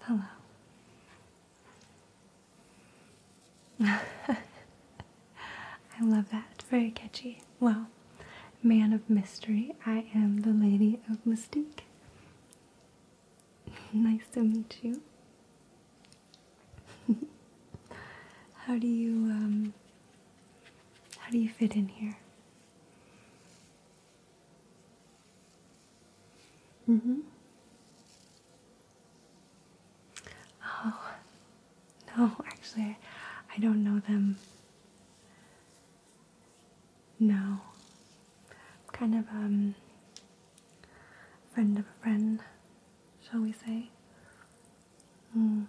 Hello. I love that. Very catchy. Well, man of mystery, I am the lady of mystique. nice to meet you. how do you um how do you fit in here? Mm hmm. Oh, no, actually, I don't know them. No. kind of um friend of a friend, shall we say? Mm.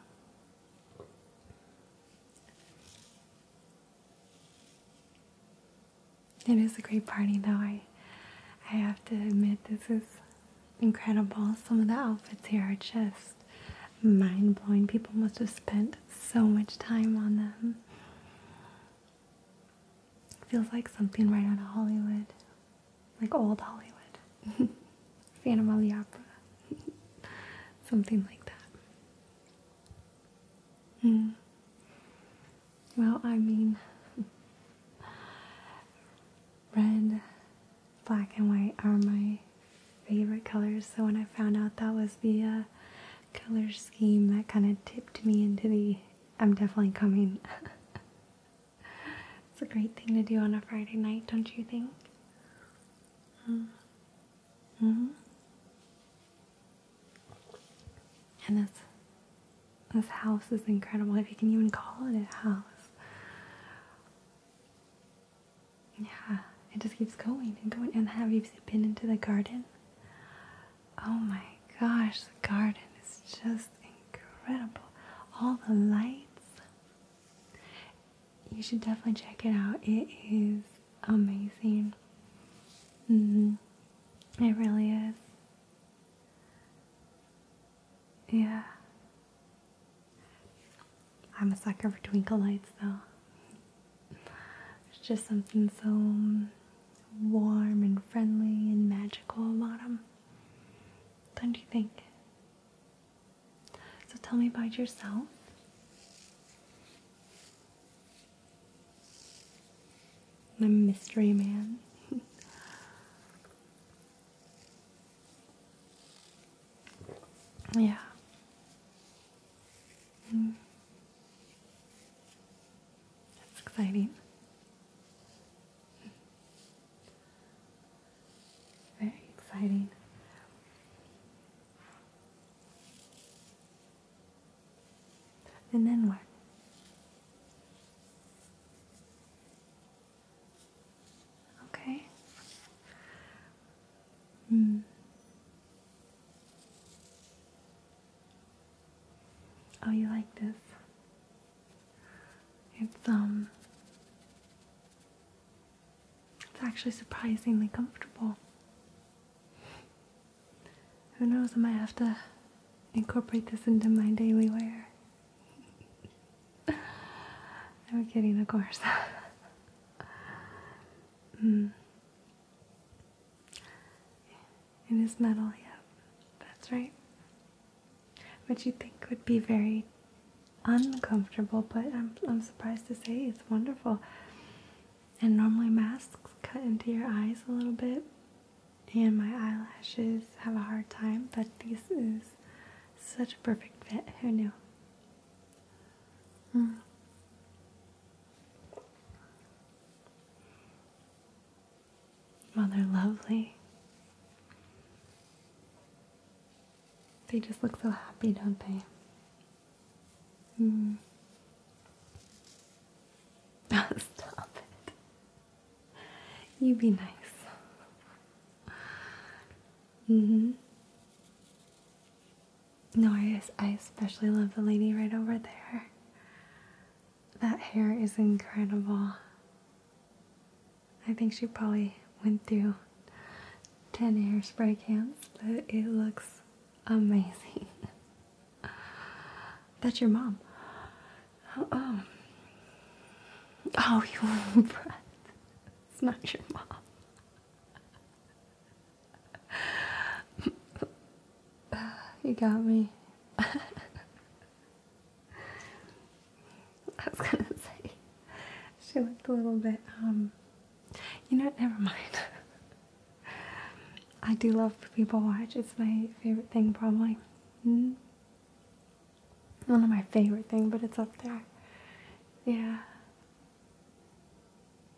It is a great party though. I I have to admit this is incredible. Some of the outfits here are just mind blowing. People must have spent so much time on them. Feels like something right out of Hollywood. Like old Hollywood. Phantom of the Opera. something like that. Mm. Well, I mean, red, black, and white are my favorite colors. So when I found out that was the uh, color scheme, that kind of tipped me into the I'm definitely coming. it's a great thing to do on a Friday night, don't you think? Mm. hmm and this this house is incredible if you can even call it a house. Yeah, it just keeps going and going. And have you been into the garden? Oh my gosh, the garden is just incredible. All the lights. You should definitely check it out. It is amazing. Mm-hmm. It really is. Yeah. I'm a sucker for twinkle lights though. It's just something so warm and friendly and magical about them. Don't you think? So tell me about yourself. The mystery man. yeah. Mm. That's exciting. Very exciting. And then what? Okay. Mm. Oh, you like this? It's um it's actually surprisingly comfortable. Who knows, I might have to incorporate this into my daily wear. I'm kidding, of course. mm. It is metal, yeah, that's right. Which you think would be very uncomfortable, but I'm, I'm surprised to say it's wonderful. And normally masks cut into your eyes a little bit, and my eyelashes have a hard time, but this is such a perfect fit. Who knew? Well, mm. they're lovely. They just look so happy, don't they? Hmm. Stop it. You be nice. hmm No, I, I especially love the lady right over there. That hair is incredible. I think she probably went through 10 hairspray cans, but it looks amazing. That's your mom. Oh, um, oh, oh you were impressed. It's not your mom. you got me. I was gonna say she looked a little bit um you know, never mind. I do love people watch. It's my favorite thing, probably. Hmm, one of my favorite thing, but it's up there. Yeah.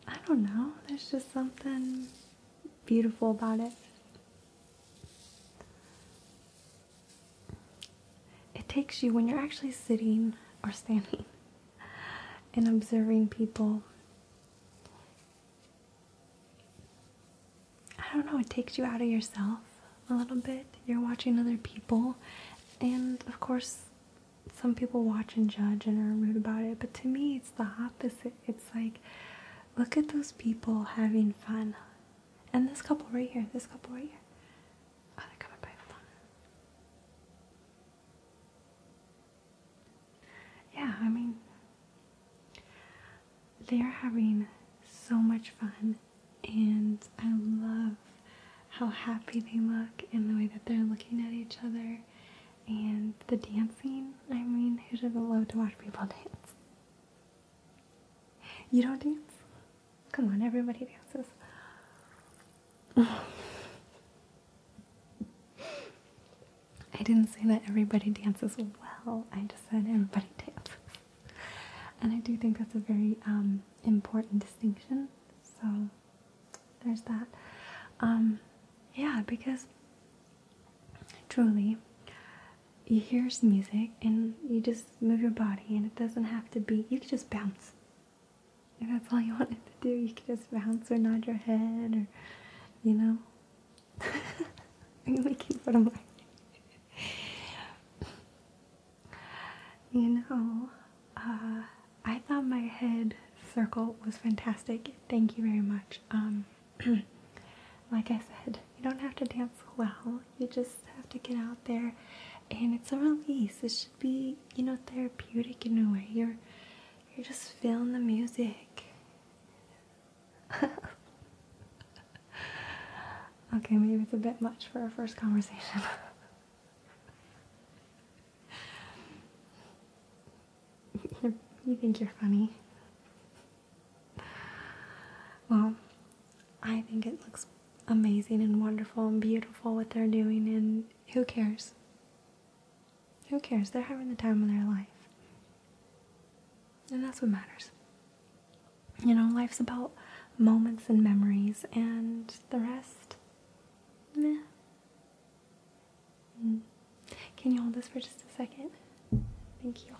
I don't know. There's just something beautiful about it. It takes you when you're actually sitting or standing and observing people I don't know, it takes you out of yourself a little bit. You're watching other people, and of course, some people watch and judge and are rude about it, but to me, it's the opposite. It's like, look at those people having fun. And this couple right here, this couple right here. Oh, they're coming by yeah, I mean, they're having so much fun, and I love how happy they look and the way that they're looking at each other and the dancing. I mean, who doesn't love to watch people dance? You don't dance? Come on, everybody dances. I didn't say that everybody dances well, I just said everybody dances. And I do think that's a very um, important distinction. So there's that. Um, yeah, because truly, you hear some music and you just move your body, and it doesn't have to be, you can just bounce. If that's all you wanted to do, you could just bounce or nod your head or, you know. really cute little boy. You know, uh, I thought my head circle was fantastic. Thank you very much. Um, like I said, you don't have to dance well. You just have to get out there, and it's a release. It should be, you know, therapeutic in a way. You're you're just feeling the music. okay, maybe it's a bit much for our first conversation. you think you're funny. Well, I think it looks amazing and wonderful and beautiful what they're doing, and who cares? Who cares? They're having the time of their life. And that's what matters. You know, life's about moments and memories, and the rest, mm. Can you hold this for just a second? Thank you.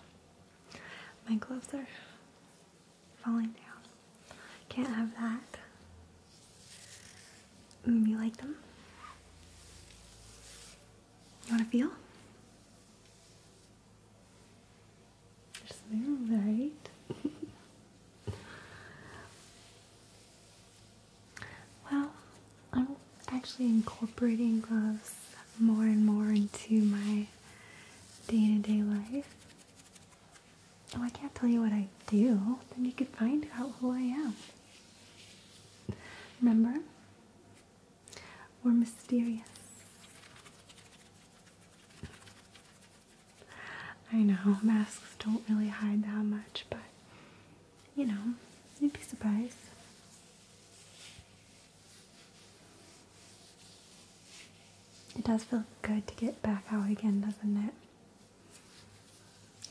My gloves are falling down. Can't have that. Mm, you like them? You want to feel? They're smooth, right? well, I'm actually incorporating gloves more and more into my day to day life. Oh, I can't tell you what I do. Then you could find out who I am. Remember? We're mysterious. I know, masks don't really hide that much, but you know, you'd be surprised. It does feel good to get back out again, doesn't it?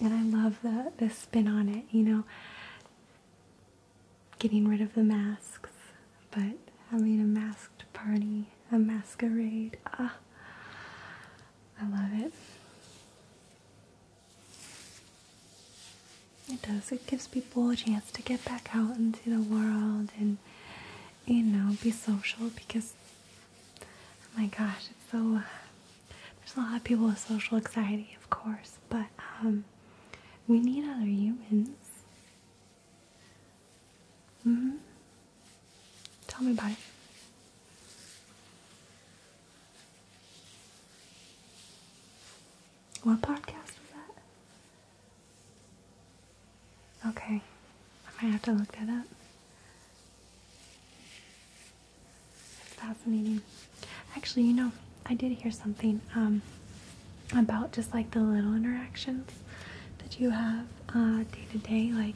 And I love the, the spin on it, you know, getting rid of the masks, but having a masked party, a masquerade. Ah, I love it. It does. It gives people a chance to get back out into the world and, you know, be social because Oh my gosh, so. There's a lot of people with social anxiety, of course, but um, we need other humans. hmm. Tell me about it. What podcast was that? Okay, I might have to look that up. Fascinating. Actually, you know, I did hear something um, about just like the little interactions that you have uh, day to day. Like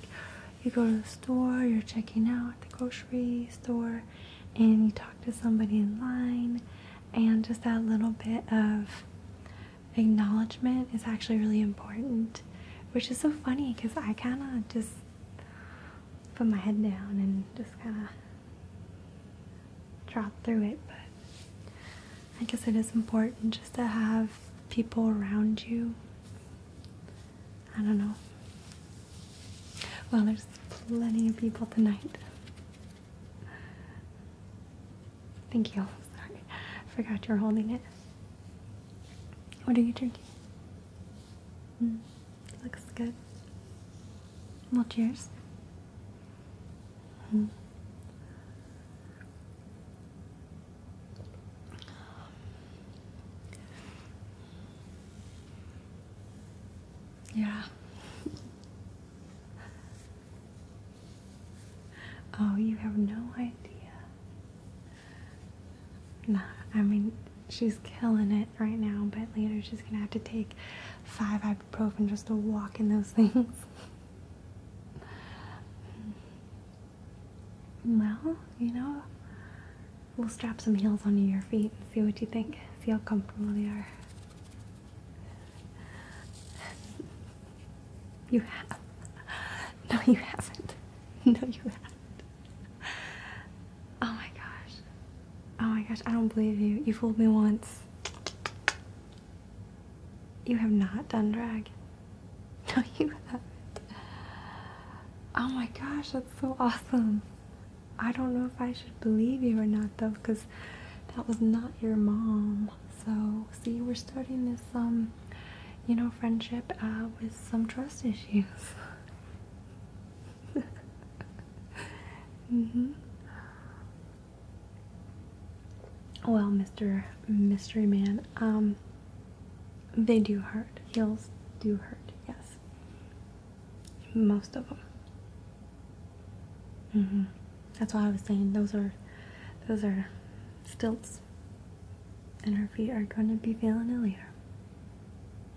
you go to the store, you're checking out at the grocery store, and you talk to somebody in line, and just that little bit of acknowledgement is actually really important which is so funny because I kind of just put my head down and just kind of drop through it. But I guess it is important just to have people around you. I don't know. Well, there's plenty of people tonight. Thank you. Sorry, I forgot you're holding it. What are you drinking? Mm. looks good. Well, cheers. Hmm. Yeah. oh, you have no idea Nah, I mean, she's killing it right now, but later she's gonna have to take five ibuprofen just to walk in those things. well, you know, we'll strap some heels onto your feet and see what you think, see how comfortable they are. You have No, you haven't. No, you haven't. Oh my gosh. Oh my gosh, I don't believe you. You fooled me once. You have not done drag. No, you haven't. Oh my gosh, that's so awesome. I don't know if I should believe you or not though, because that was not your mom. So, see, we're starting this um you know, friendship uh, with some trust issues. Mm-hmm. Well, Mr. Mystery Man, um, they do hurt. Heels do hurt, yes. Most of them. Mm-hmm. That's why I was saying those are, those are stilts and her feet are going to be feeling it later.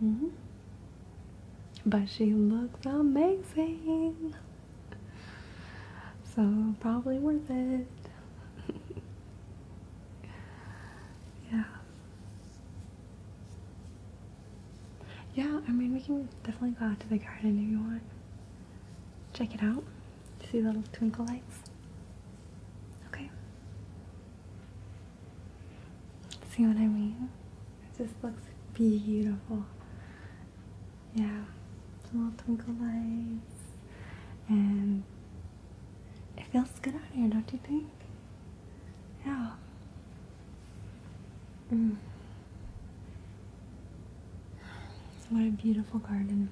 -hmm. But she looks amazing. So probably worth it. yeah. Yeah, I mean we can definitely go out to the garden if you want. Check it out. See little twinkle lights? Okay. See what I mean? It just looks beautiful. Yeah, the little twinkle lights. And it feels good out here, don't you think? Yeah. Mm. What a beautiful garden.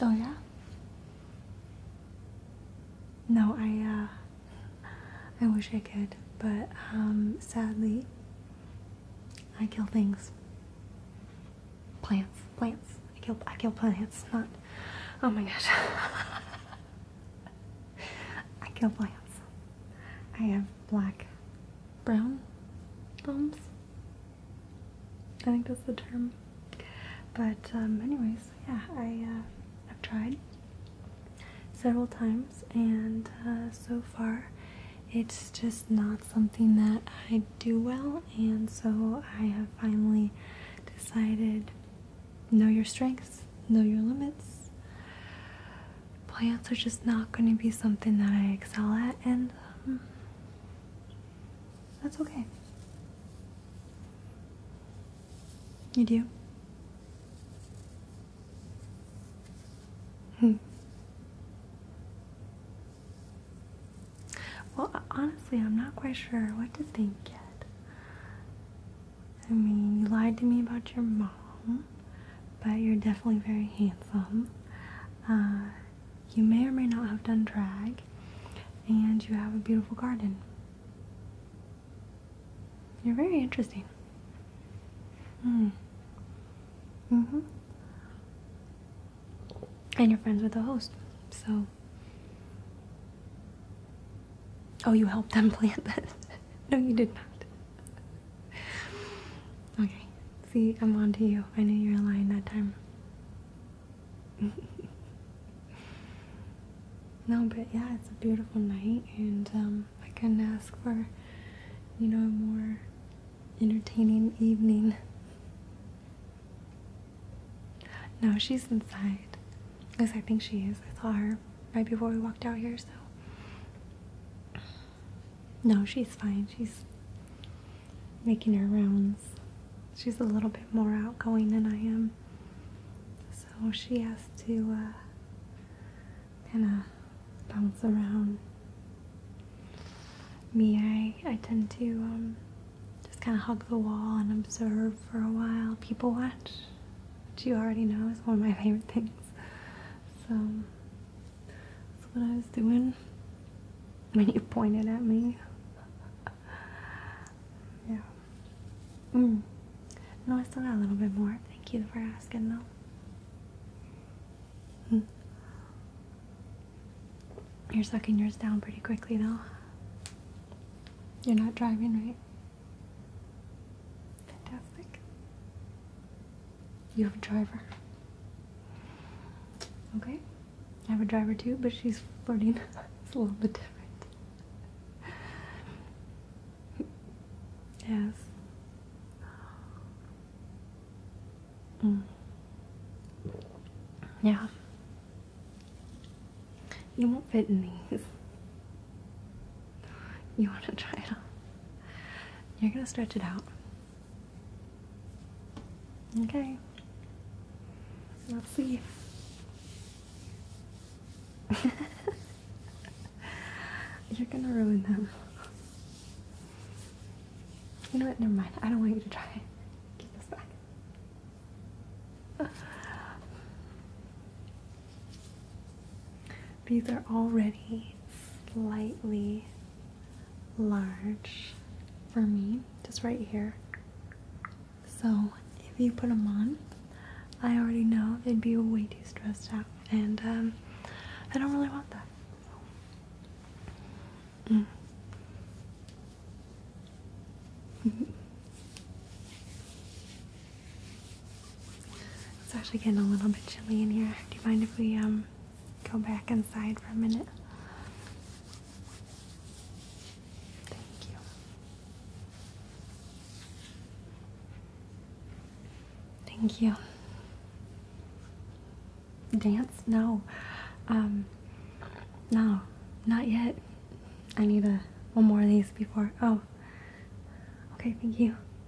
Oh yeah. No, I uh, I wish I could, but um, sadly, I kill things. Plants, plants. I kill I kill plants. Not. Oh my gosh. I kill plants. I am black brown thumbs. I think that's the term. But um, anyways, yeah, I have uh, tried several times, and uh, so far, it's just not something that I do well, and so I have finally decided: know your strengths, know your limits plants are just not going to be something that I excel at, and um, that's okay. You do? Hmm. Well, honestly, I'm not quite sure what to think yet. I mean, you lied to me about your mom but you're definitely very handsome. Uh, you may or may not have done drag, and you have a beautiful garden. You're very interesting. Mm. Mm-hmm. And you're friends with the host, so. Oh, you helped them plant this. no, you did not okay, see, I'm on to you. I knew you were lying that time. no, but yeah, it's a beautiful night, and um, I couldn't ask for, you know, a more entertaining evening. No, she's inside. At I think she is. I saw her right before we walked out here, so. No, she's fine. She's making her rounds. She's a little bit more outgoing than I am. So she has to uh, kind of bounce around. Me, I, I tend to um, just kind of hug the wall and observe for a while. People watch, which you already know is one of my favorite things. So that's what I was doing when you pointed at me. yeah. Mm. No, I still got a little bit more. Thank you for asking, though. Hmm. You're sucking yours down pretty quickly, though. You're not driving, right? Fantastic. You have a driver. Okay? I have a driver too, but she's flirting. it's a little bit different. yes. Mm. Yeah. You won't fit in these. You want to try it You're going to stretch it out. Okay. I'll see. You're going to ruin them. You know what? Never mind. I don't want you to try it. Get this back. These are already slightly large for me, just right here. So if you put them on, I already know they'd be way too stressed out, and um, I don't really want that. Mm. It's actually getting a little bit chilly in here. Do you mind if we um, go back inside for a minute? Thank you. Thank you. Dance? No. Um, no, not yet. I need a one more of these before. Oh. Okay, thank you.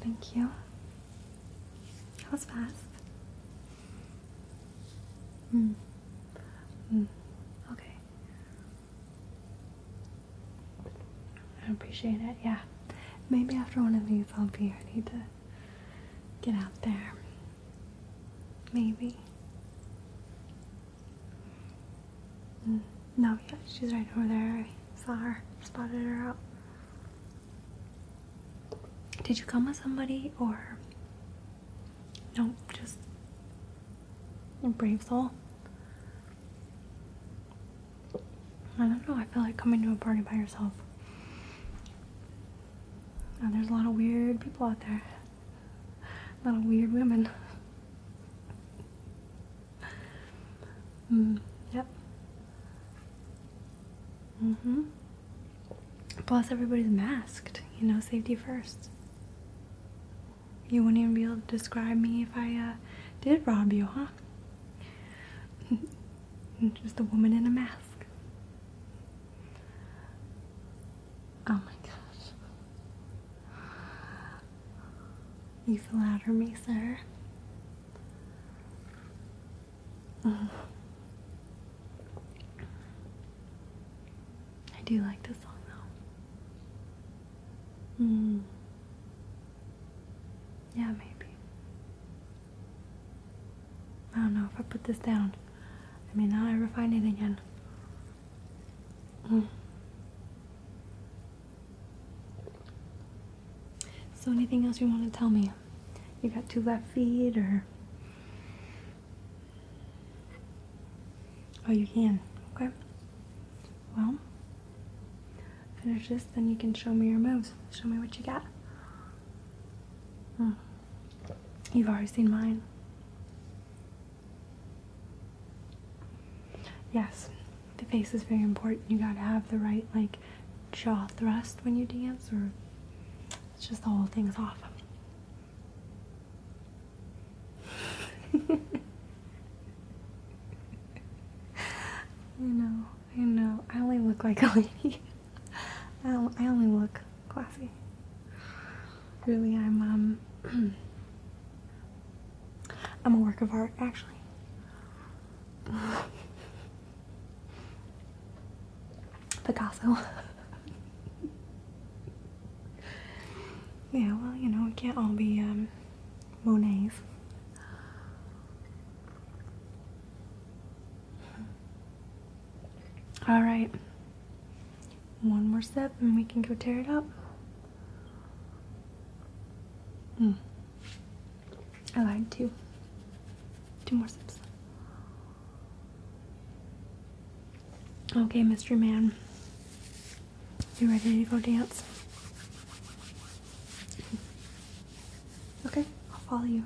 Thank you. That was fast. Hmm. Hmm. Okay. I appreciate it. Yeah. Maybe after one of these, I'll be I need to get out there. Maybe. Hmm. No, yeah, she's right over there. I saw her, spotted her out. Did you come with somebody or no? Just a brave soul. I don't know. I feel like coming to a party by yourself. there's a lot of weird people out there. A lot of weird women. Hmm, yep hmm Plus, everybody's masked. You know, safety first. You wouldn't even be able to describe me if I uh, did rob you, huh? Just a woman in a mask. Oh my gosh. You flatter me, sir. Uh-huh. I do like this song though. Hmm. Yeah, maybe. I don't know if I put this down. I mean, now I refine it again. Mm. So, anything else you want to tell me? you got two left feet or oh you can okay well finish this then you can show me your moves show me what you got hmm. you've already seen mine yes the face is very important. You gotta have the right like jaw thrust when you dance, or it's just the whole thing's off. I know, I know. I only look like a lady. I, I only look classy. Really, I'm um, I'm a work of art, actually. The castle. yeah, well, you know, it can't all be um, Monets. All right. One more step and we can go tear it up. Mm. Oh, I lied too. Two more sips. Okay, mystery man. You ready to go dance? Okay, I'll follow you.